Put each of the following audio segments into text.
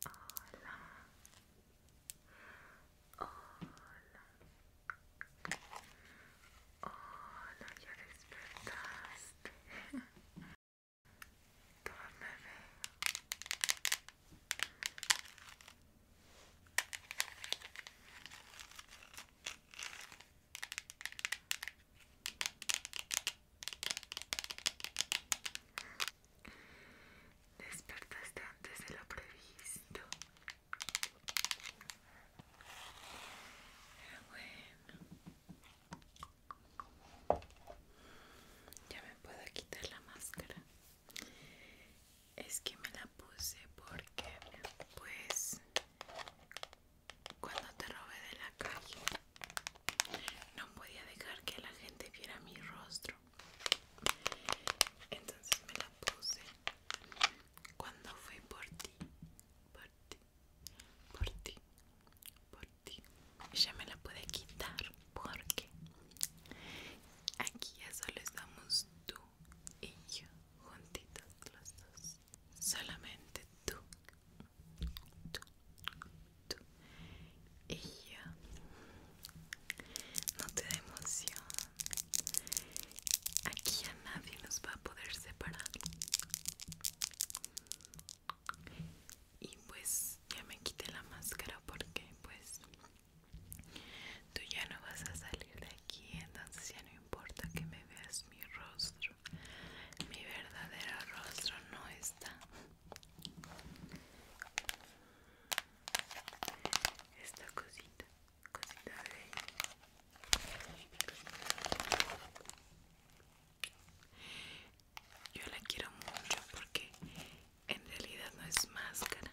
Hola. Hola. Hola, ya despertaste. Duerme, Despertaste antes de lo previsto. bueno. Ya me puedo quitar la máscara. Es que me la puse porque pues cuando te robé de la calle no podía dejar que la gente viera mi rostro. Entonces me la puse. Cuando fue por ti, por ti, por ti, por ti. Ya me la pude quitar porque aquí ya solo estamos tú y yo juntitos los dos. Solamente tú, tú, y no te da emoción aquí a nadie nos va a poder separar y pues ya me quité la máscara porque pues tú ya no vas a salir de aquí entonces ya no importa que me veas mi rostro mi verdadero rostro no está esta cosita cosita de yo la quiero mucho porque en realidad no es máscara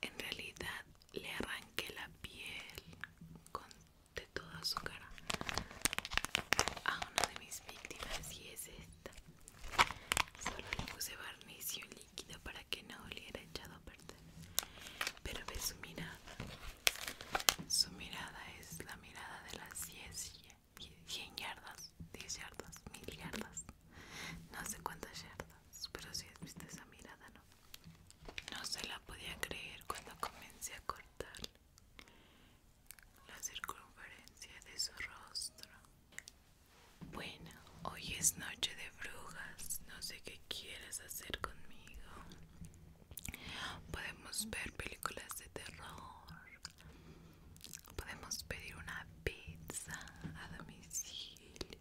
en realidad le arranqué la piel con, de toda su cara a uno de mis víctimas y es esta. Solo le puse barniz líquido para que no oliera echado a perder. Pero ve su mirada. Su mirada es la mirada de las 10, 100 yardas, 10 yardas, 1000 yardas. No sé cuántas yardas, pero si has visto esa mirada, no. No se la podía creer cuando comencé a cortarla la circunferencia de su rostro. Bueno, hoy es noche de brujas, no sé qué quieres hacer conmigo. Podemos ver películas de terror, podemos pedir una pizza a domicilio,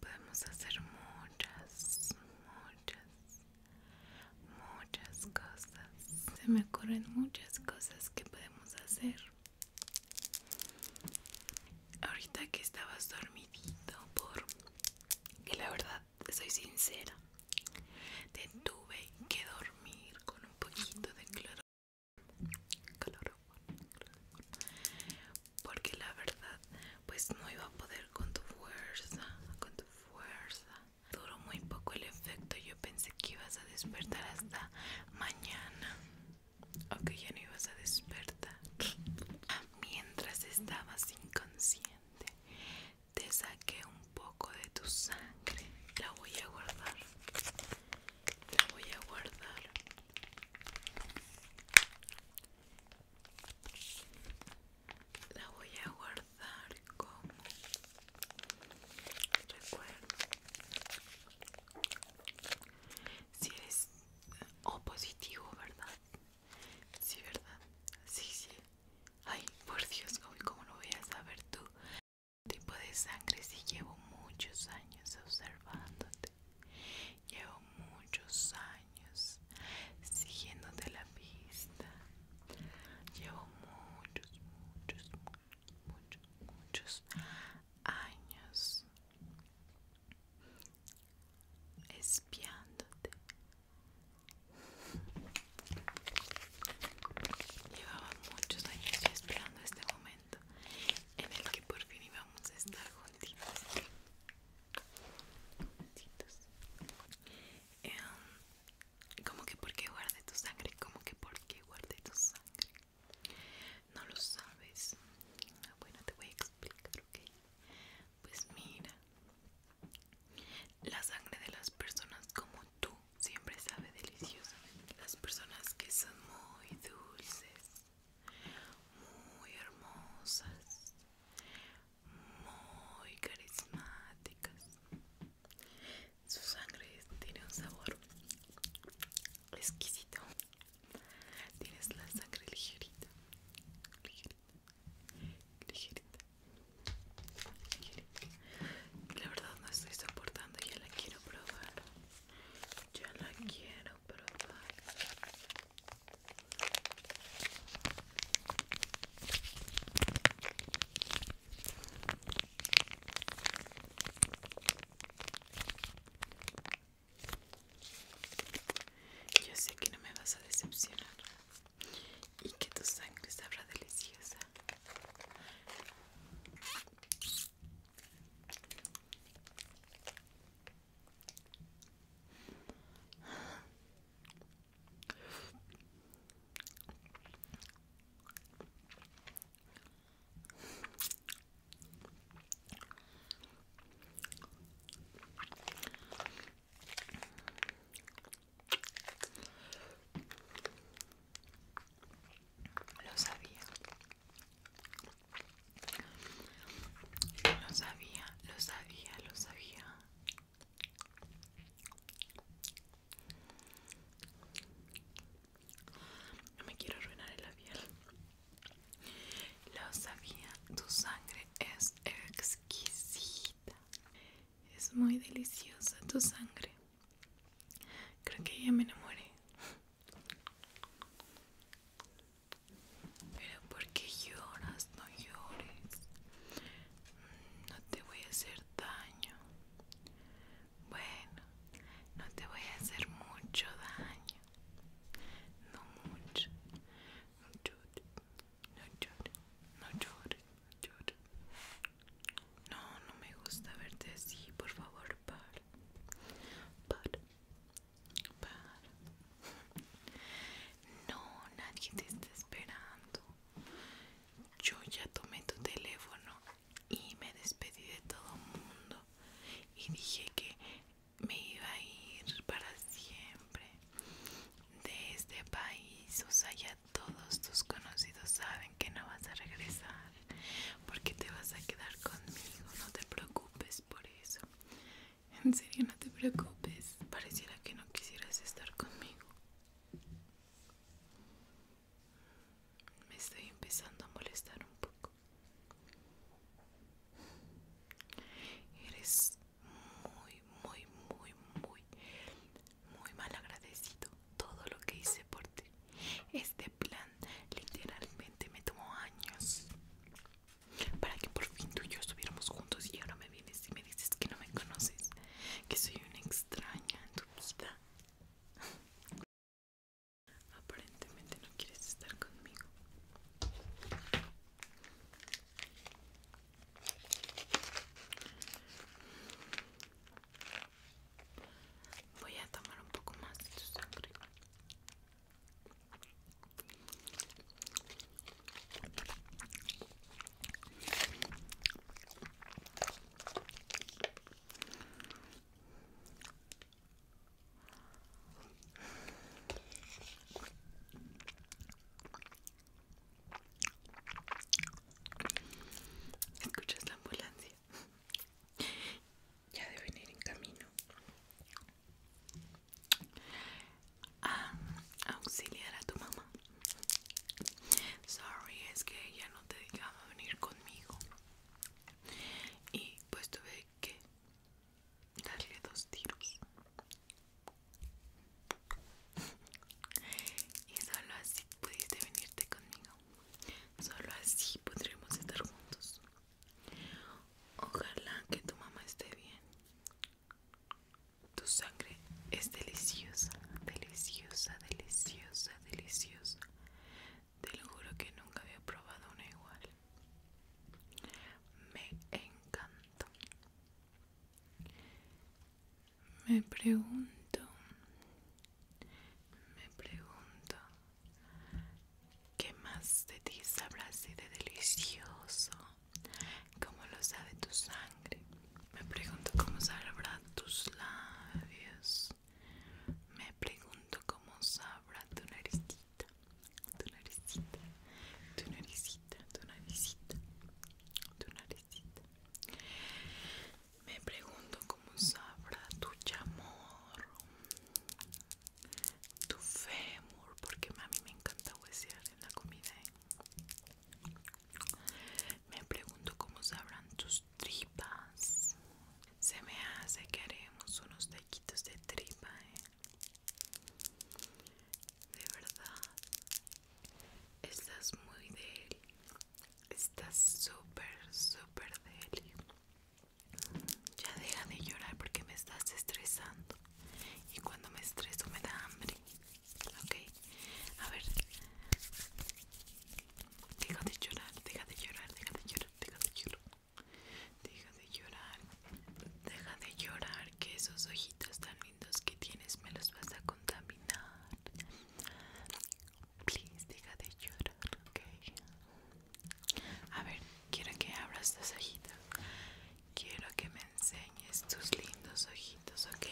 podemos hacer muchas, muchas, muchas cosas se me ocurren muchas cosas que podemos hacer ahorita que estabas dormidito por que la verdad soy sincera te tuve que dormir con un poquito de cloro porque la verdad pues no iba a poder con tu fuerza con tu fuerza Duró muy poco el efecto, yo pensé que ibas a despertar hasta mañana. O ya no ibas a despertar. Mientras estabas inconsciente, te saqué un poco de tu sangre. La voy a guardar. La voy a guardar la voy a guardar como recuerdo si eres o positivo verdad sí verdad sí sí ay por dios como lo voy a saber tú este tipo de sangre si llevo muchos años observándote llevo muchos años años siguiéndote la pista. Llevo muchos, muchos, muchos, muchos años espiándote. Llevaba muchos años esperando este momento en el que por fin íbamos a estar juntos juntitos. ¿Cómo em, como que qué guardé tu sangre como que qué guardé tu sangre no lo sabes bueno te voy a explicar ok pues mira la sangre de las personas como tú siempre sabe deliciosamente las personas que son muy dulces muy hermosas muy carismáticas. Su sangre tiene un sabor exquisito. Tienes la sangre ligerita, ligerita, ligerita, ligerita. La verdad no estoy soportando, ya la quiero probar. Ya la quiero probar. Yo sé que no me vas a decepcionar y que tu sangre sabrá deliciosa. Lo sabía. Lo sabía, lo sabía, lo sabía. No me quiero arruinar el labial. Lo sabía, tu sangre es exquisita. Es muy deliciosa tu sangre. Creo que ella me enamoré. Pero ¿por qué lloras? No llores. Mm, no te voy a hacer daño. Bueno, no te voy a hacer mucho daño. No mucho. No llores. No llores. No llores. No No, me gusta verte así. Por favor, par Para. No, nadie te está esperando. Yo ya tomé tu teléfono y me despedí de todo el mundo y dije que me iba a ir para siempre de este país. O sea, ya todos tus conocidos saben que no vas a regresar porque te vas a quedar conmigo. No te preocupes por eso. En serio, no te preocupes. Pareciera que no quisieras estar conmigo. Me estoy empezando a molestar un poco. Eres muy, muy, muy, muy, muy mal agradecido. Todo lo que hice por ti. Este plan literalmente me tomó años para que por fin tú y yo estuviéramos juntos y ahora me vienes y me dices que no me conoces, que soy una extraña en tu vida. Aparentemente no quieres estar conmigo. Voy a tomar un poco más de tu sangre. Escuchas la ambulancia. Ya deben ir en camino a ah, auxiliar a tu mamá. Sorry, es que ella no te dejaba venir conmigo. Y pues tuve que darle dos tiros. Y solo así pudiste venirte conmigo. Solo así podremos estar juntos. Ojalá que tu mamá esté bien. Tu sangre es deliciosa, deliciosa, deliciosa, deliciosa. Te lo juro que nunca había probado una igual. Me encanta. Me pregunto, me pregunto ¿Qué más de ti sabrás de delicioso? ¿Cómo lo sabe tu sangre? Me pregunto cómo sabrá tus labios. Me pregunto cómo sabrá tu naricita. Tu naricita. Tu naricita. Tu naricita. Tu naricita. Me pregunto cómo sabrá tu chamorro tu fémur, porque a mí me encanta huesear en la comida. ¿eh? Me pregunto cómo sabrán tus tripas. Se me hace que haremos unos taquitos de tripa, ¿eh? De verdad, estás muy deli. Estás súper, súper deli. Ya deja de llorar porque me estás estresando. Y cuando me estreso me da hambre. Ok. A ver. Deja de llorar, deja de llorar, deja de llorar, deja de llorar. Deja de llorar. Deja de llorar que esos ojitos tan lindos que tienes me los vas a contaminar. Please, deja de llorar, ok. A ver, quiero que abras tus ojitos. Quiero que me enseñes tus lindos ojitos, ¿ok?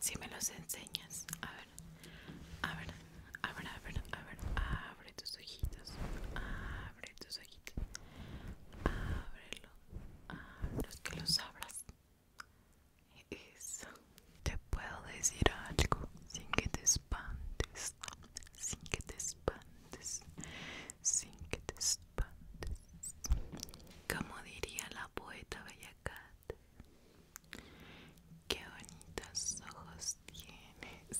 Si me los enseñas, a ver, a ver, a ver, a ver, abre tus ojitos, abre tus ojitos, ábrelo, los que los abras. Eso, te puedo decir algo sin que te espantes, sin que te espantes, sin que te espantes. Como diría la poeta Bellacat, qué bonitos ojos tienes,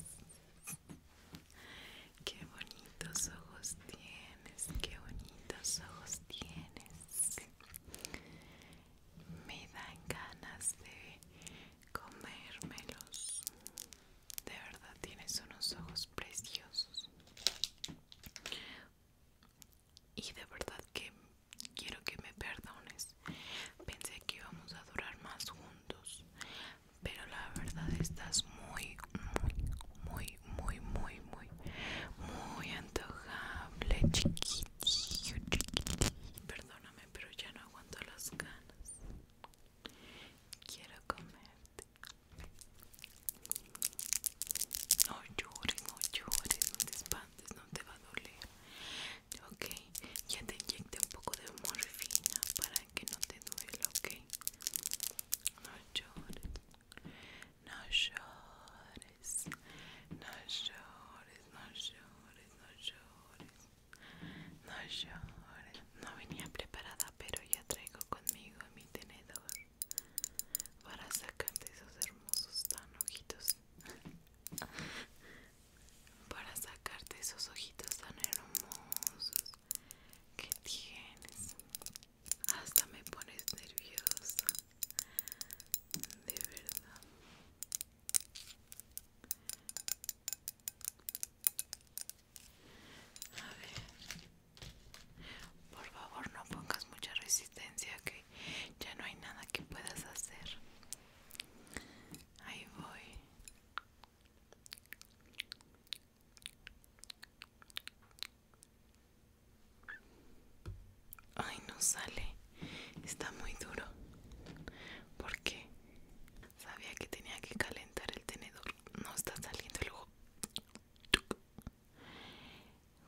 qué bonitos ojos tienes, qué bonitos ojos tienes. Me dan ganas de comérmelos. De verdad tienes unos ojos preciosos. Y de verdad que quiero que me perdones. Pensé que íbamos a durar más juntos. Pero la verdad estás muy, muy, muy, muy, muy, muy, muy antojable, chiquitillo, chiquitillo. Perdón, pero ya no aguanto las ganas. Quiero comerte. No llores, no llores, no te espantes, no te va a doler. Ok, ya te inyecté un poco de morfina para que no te duela, ok. No llores, no llores, no llores, no llores, no llores, no llores. No venía preparada, pero ya traigo conmigo mi tenedor para sacarte esos hermosos tan ojitos. Para sacarte esos ojitos tan hermosos que tienes. Hasta me pones nerviosa. De verdad. A ver. Por favor, no pongas mucha resistencia que ya no hay nada que puedas hacer. Ahí voy. Ay, no sale. Está muy duro. Porque sabía que tenía que calentar el tenedor. No está saliendo el luego.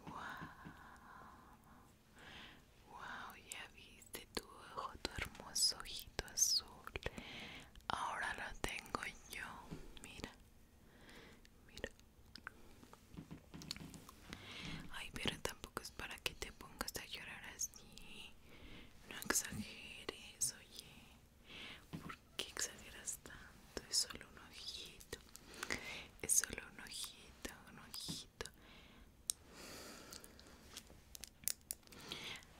Wow. Wow, ya viste tu ojo, tu hermoso ojito azul. Ahora lo tengo yo. Mira. Mira. Ay, pero tampoco es para que te pongas a llorar así. No exageres, oye. ¿Por qué exageras tanto? Es solo un ojito. Es solo un ojito, un ojito.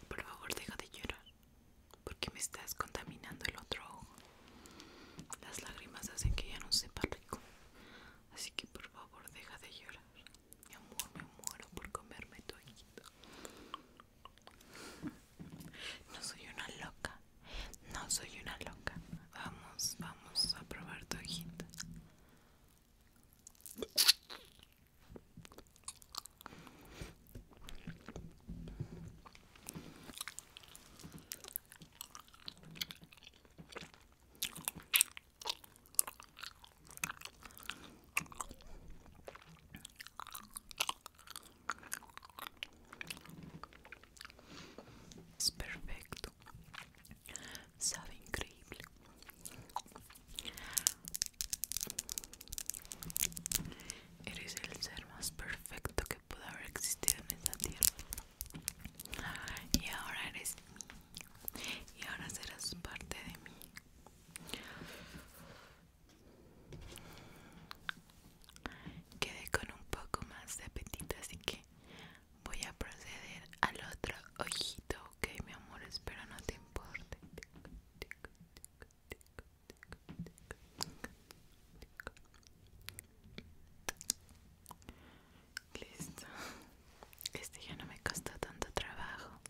Por favor, deja de llorar. Porque me estás contaminando el otro ojo. Las lágrimas hacen que ya no sepa rico. Así que por favor deja de llorar. Mi amor, me muero por comerme tu No soy una loca. No soy una loca. Vamos, vamos a probar tu es perfecto. Sabe increíble. Eres el ser más perfecto que pudo haber existido en esta tierra y ahora eres y ahora serás parte de mí quedé con un poco más de apetito así que voy a proceder al otro ojito ok mi amor espero no te importe Listo. Este ya no me costó tanto trabajo.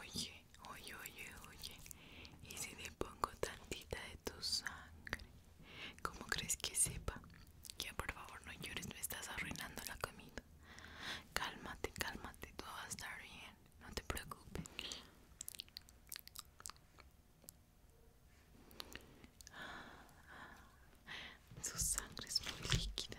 Oye, oye, oye, oye. ¿Y si le pongo tantita de tu sangre? ¿Cómo crees que sepa? Ya por favor no llores, me estás arruinando la comida. Cálmate, cálmate, todo va a estar bien, no te preocupes. Su sangre es muy líquida.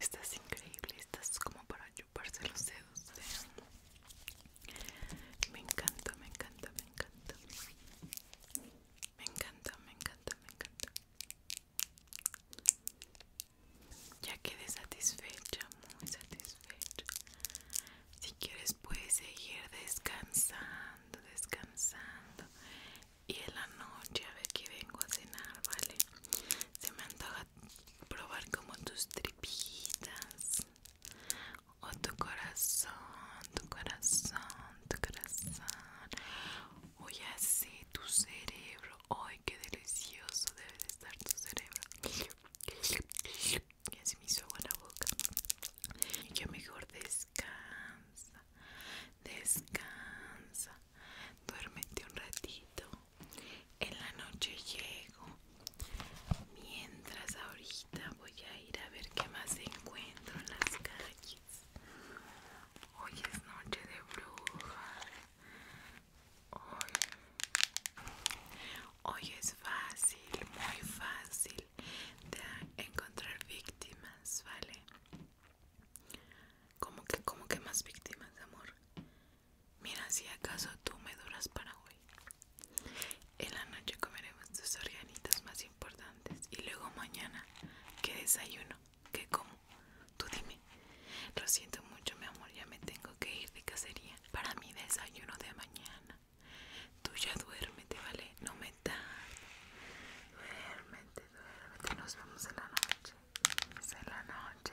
Estás increíble, estás como para chuparse los dedos. Me encanta, me encanta, me encanta. Me encanta, me encanta, me encanta. Ya quedé satisfecha, muy satisfecha. Si quieres puedes seguir descansando, descansando. Y en la noche a ver que vengo a cenar, ¿vale? Se me antoja probar como tus tripitas. O tu corazón, tu corazón tu corazón hoy hace tu cerebro hoy qué delicioso debe de estar tu cerebro y así me hizo agua la boca Yo mejor descansa descansa duérmete un ratito en la noche llego mientras ahorita voy a a ir a ver qué más encuentro en las calles. Hoy es noche de brujas. Hoy, hoy es fácil, muy fácil de encontrar víctimas, ¿vale? Como que, como que más víctimas, amor. Mira, si acaso tú me duras para hoy. En la noche comeremos tus organitos más importantes y luego mañana, ¿qué desayuno? ¿Qué como? Tú dime. Lo siento mucho, mi amor, ya me tengo que ir de cacería para mi desayuno de mañana. Tú ya duérmete, ¿vale? No me tardes. Duérmete, duérmete. Nos vemos en la noche. En la noche.